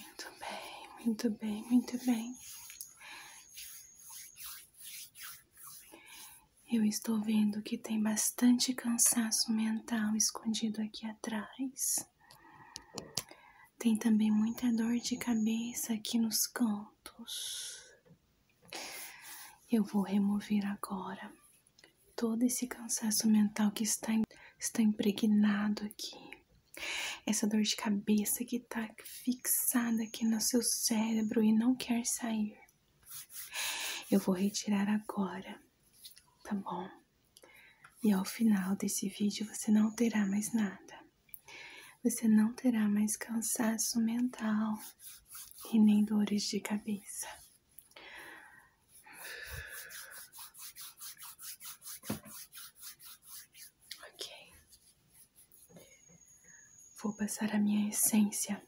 Muito bem, muito bem, muito bem. Eu estou vendo que tem bastante cansaço mental escondido aqui atrás. Tem também muita dor de cabeça aqui nos cantos. Eu vou remover agora todo esse cansaço mental que está, está impregnado aqui. Essa dor de cabeça que está fixada aqui no seu cérebro e não quer sair. Eu vou retirar agora, tá bom? E ao final desse vídeo você não terá mais nada. Você não terá mais cansaço mental e nem dores de cabeça. Ok. Vou passar a minha essência.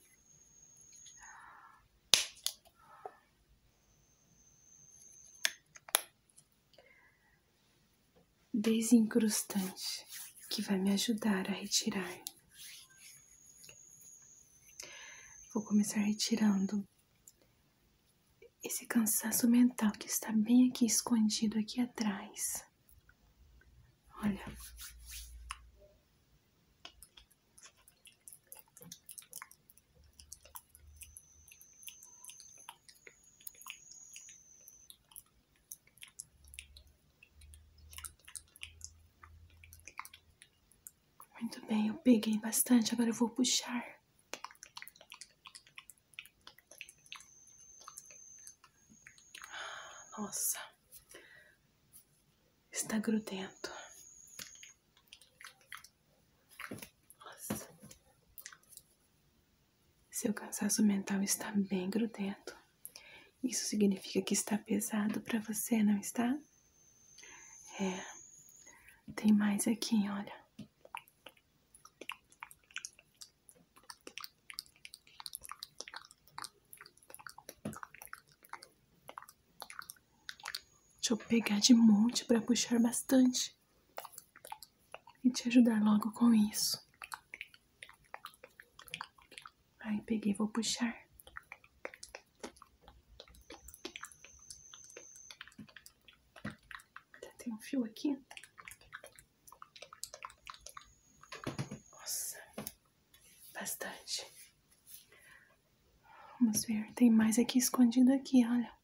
Desincrustante que vai me ajudar a retirar. Vou começar retirando esse cansaço mental que está bem aqui escondido aqui atrás. Olha. Muito bem, eu peguei bastante, agora eu vou puxar. Nossa, está grudento. Seu cansaço mental está bem grudento. Isso significa que está pesado para você, não está? É. Tem mais aqui, olha. Deixa eu pegar de monte para puxar bastante e te ajudar logo com isso. Aí peguei, vou puxar. Tem um fio aqui. Nossa, bastante. Vamos ver, tem mais aqui escondido aqui, olha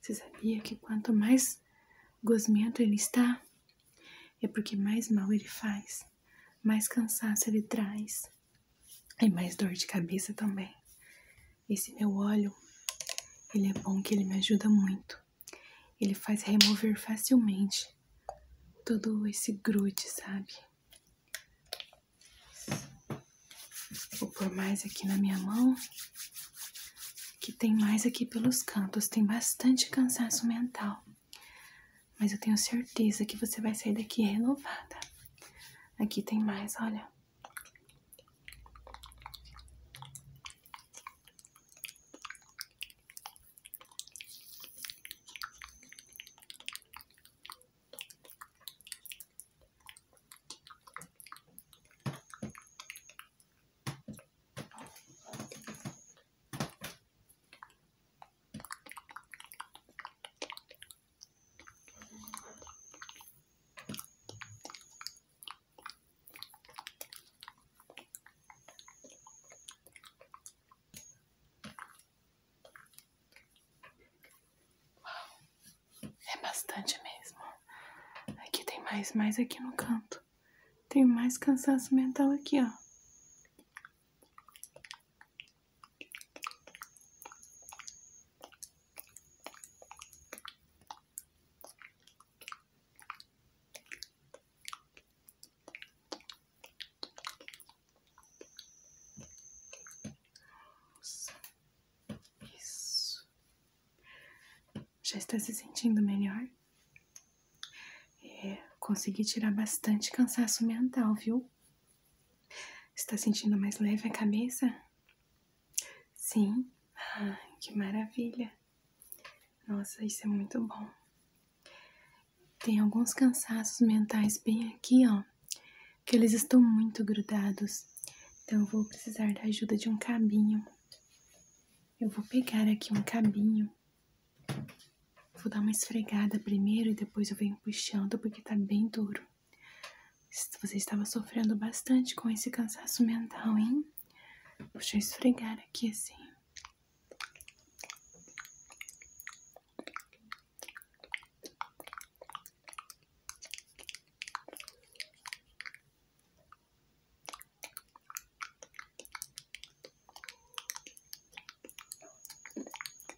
você sabia que quanto mais gosmento ele está, é porque mais mal ele faz, mais cansaço ele traz e é mais dor de cabeça também. Esse meu óleo, ele é bom que ele me ajuda muito. Ele faz remover facilmente todo esse grude, sabe? Vou pôr mais aqui na minha mão. Que tem mais aqui pelos cantos, tem bastante cansaço mental. Mas eu tenho certeza que você vai sair daqui renovada. Aqui tem mais, olha é bastante mesmo. Aqui tem mais, mais aqui no canto. Tem mais cansaço mental aqui, ó isso já está se sentindo melhor? É, consegui tirar bastante cansaço mental, viu? Está sentindo mais leve a cabeça? Sim. Ah, que maravilha. Nossa, isso é muito bom. Tem alguns cansaços mentais bem aqui, ó, que eles estão muito grudados. Então eu vou precisar da ajuda de um cabinho. Eu vou pegar aqui um cabinho Vou dar uma esfregada primeiro e depois eu venho puxando tá? porque tá bem duro. Você estava sofrendo bastante com esse cansaço mental, hein? Vou eu esfregar aqui assim.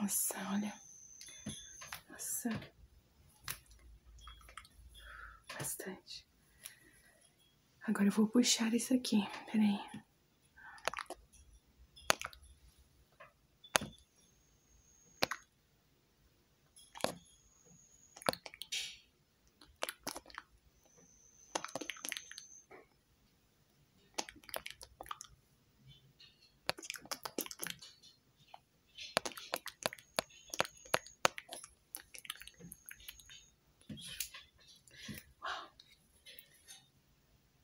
Nossa, olha. Nossa. Bastante. Agora eu vou puxar isso aqui. Peraí.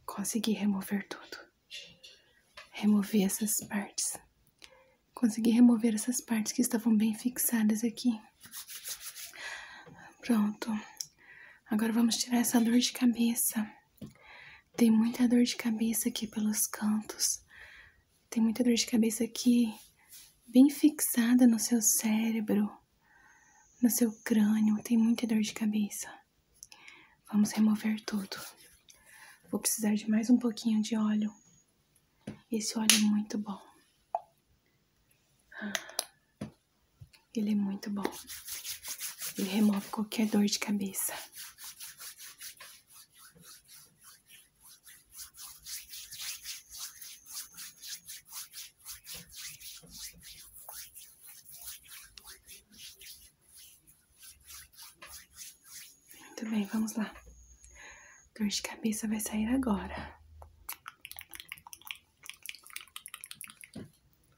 Consegui remover tudo. remover essas partes. Consegui remover essas partes que estavam bem fixadas aqui. Pronto. Agora vamos tirar essa dor de cabeça. Tem muita dor de cabeça aqui pelos cantos. Tem muita dor de cabeça aqui, bem fixada no seu cérebro, no seu crânio. Tem muita dor de cabeça. Vamos remover tudo. Vou precisar de mais um pouquinho de óleo. Esse óleo é muito bom. Ele é muito bom. Ele remove qualquer dor de cabeça. Muito bem, vamos lá. Dor de cabeça vai sair agora.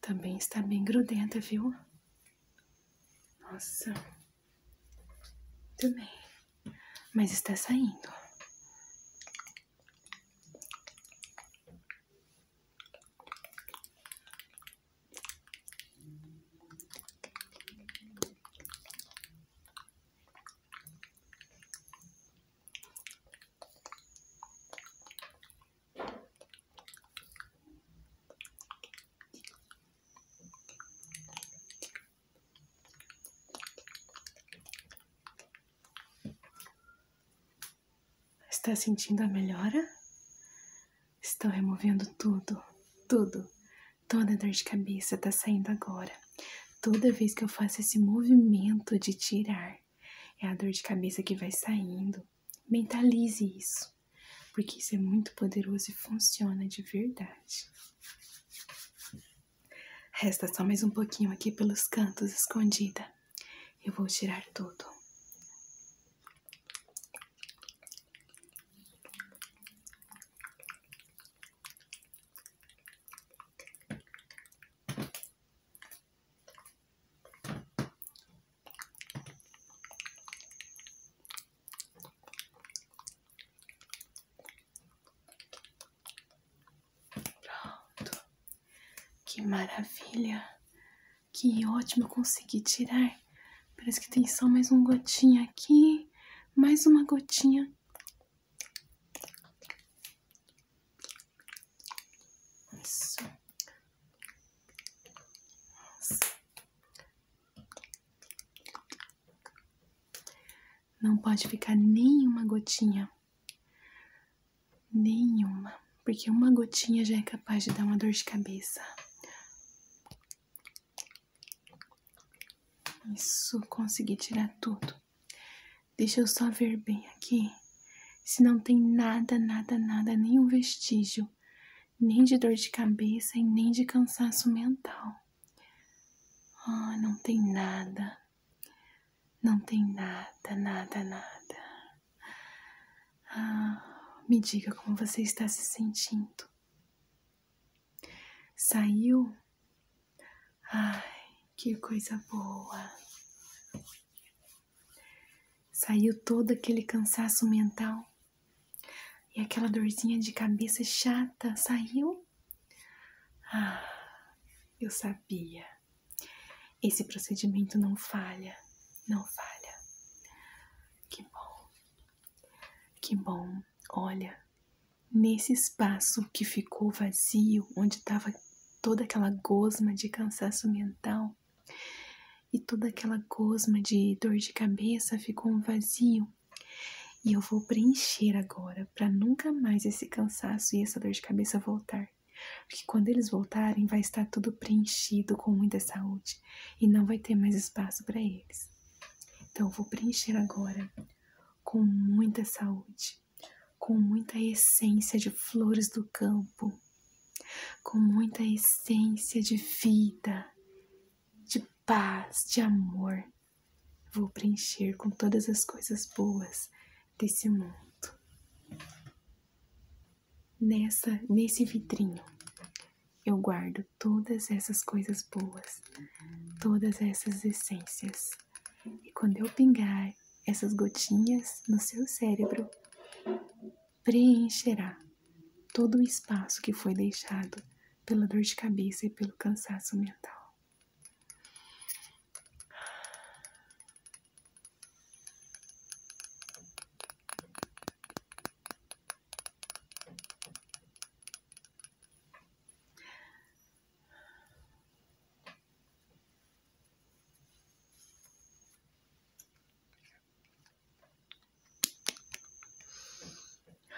Também está bem grudenta, viu? Nossa. Muito bem. Mas está saindo. Está sentindo a melhora? Estou removendo tudo, tudo. Toda dor de cabeça está saindo agora. Toda vez que eu faço esse movimento de tirar, é a dor de cabeça que vai saindo. Mentalize isso porque isso é muito poderoso e funciona de verdade. Resta só mais um pouquinho aqui pelos cantos escondida. Eu vou tirar tudo. Pronto. Que maravilha. Que ótimo consegui tirar. Parece que tem só mais um gotinha aqui. Mais uma gotinha. Não pode ficar nenhuma gotinha. Nenhuma. Porque uma gotinha já é capaz de dar uma dor de cabeça. Isso, consegui tirar tudo. Deixa eu só ver bem aqui. Se não tem nada, nada, nada, nenhum vestígio nem de dor de cabeça e nem de cansaço mental. Ah, não tem nada, não tem nada, nada, nada. Ah, me diga como você está se sentindo. Saiu? Ai, que coisa boa. Saiu todo aquele cansaço mental e aquela dorzinha de cabeça chata saiu. Ah, eu sabia. Esse procedimento não falha, não falha. Que bom, que bom. Olha, nesse espaço que ficou vazio, onde estava toda aquela gosma de cansaço mental, e toda aquela cosma de dor de cabeça ficou um vazio. E eu vou preencher agora para nunca mais esse cansaço e essa dor de cabeça voltar. Porque quando eles voltarem, vai estar tudo preenchido com muita saúde e não vai ter mais espaço para eles. Então, eu vou preencher agora com muita saúde, com muita essência de flores do campo, com muita essência de vida, de paz, de amor. Vou preencher com todas as coisas boas desse mundo. Nessa, nesse vidrinho, eu guardo todas essas coisas boas, todas essas essências. E quando eu pingar essas gotinhas no seu cérebro, preencherá todo o espaço que foi deixado pela dor de cabeça e pelo cansaço mental.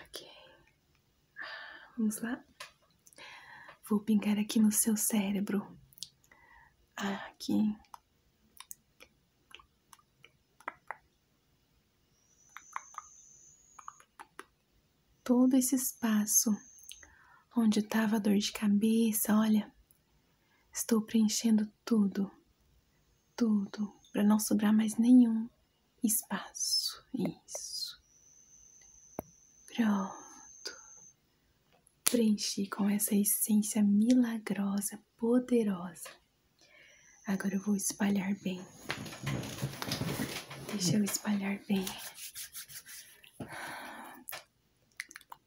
Ok. Vamos lá. Vou pingar aqui no seu cérebro. Aqui. Todo esse espaço onde estava a dor de cabeça, olha, estou preenchendo tudo, tudo, para não sobrar mais nenhum espaço. Isso. Pronto. Preenchi com essa essência milagrosa, poderosa. Agora eu vou espalhar bem. Deixa eu espalhar bem.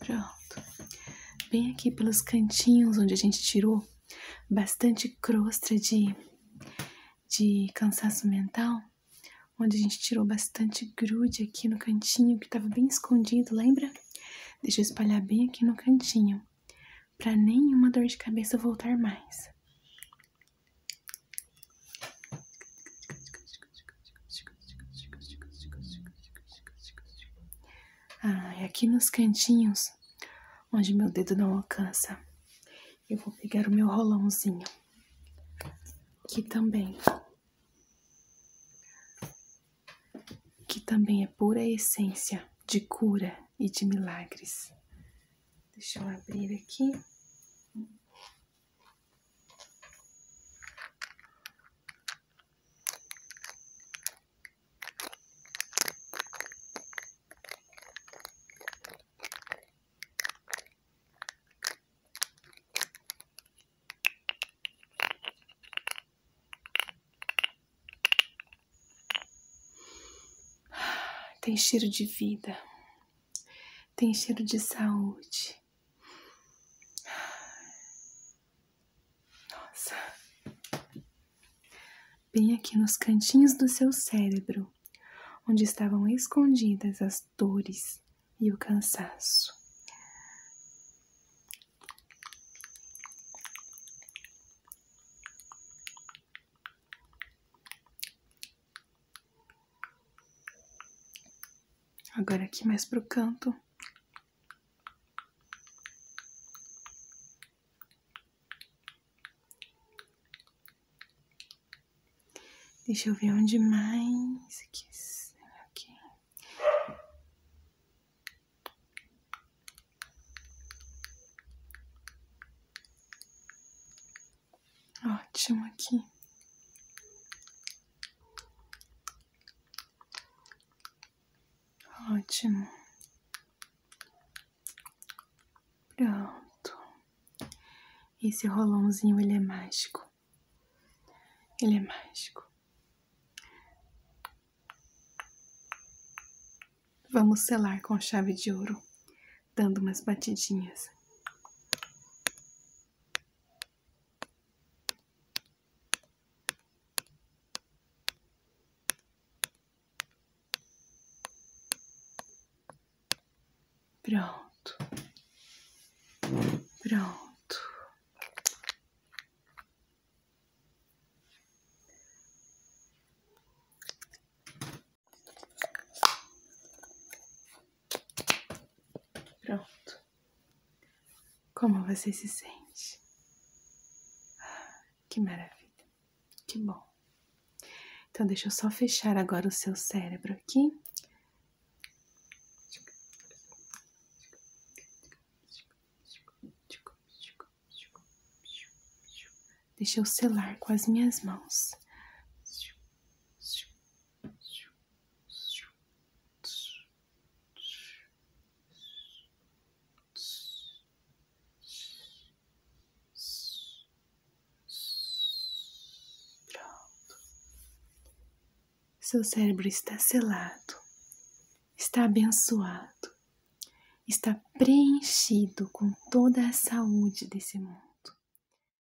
Pronto. Bem aqui pelos cantinhos onde a gente tirou bastante crosta de, de cansaço mental, onde a gente tirou bastante grude aqui no cantinho que estava bem escondido, lembra? Deixa eu espalhar bem aqui no cantinho, para nenhuma dor de cabeça voltar mais. Ah, e aqui nos cantinhos, onde meu dedo não alcança, eu vou pegar o meu rolãozinho. Que também. Que também é pura essência de cura e de milagres. Deixa eu abrir aqui. Tem cheiro de vida, tem cheiro de saúde. Nossa. Bem aqui nos cantinhos do seu cérebro, onde estavam escondidas as dores e o cansaço. Agora aqui mais pro canto. Deixa eu ver onde mais. Aqui. aqui. Ótimo aqui. Ótimo. Pronto. Esse rolãozinho, ele é mágico. Ele é mágico. Vamos selar com chave de ouro dando umas batidinhas. Pronto. Pronto. Pronto. Como você se sente? Ah, que maravilha. Que bom. Então, deixa eu só fechar agora o seu cérebro aqui. Deixa eu selar com as minhas mãos. Seu cérebro está selado, está abençoado, está preenchido com toda a saúde desse mundo.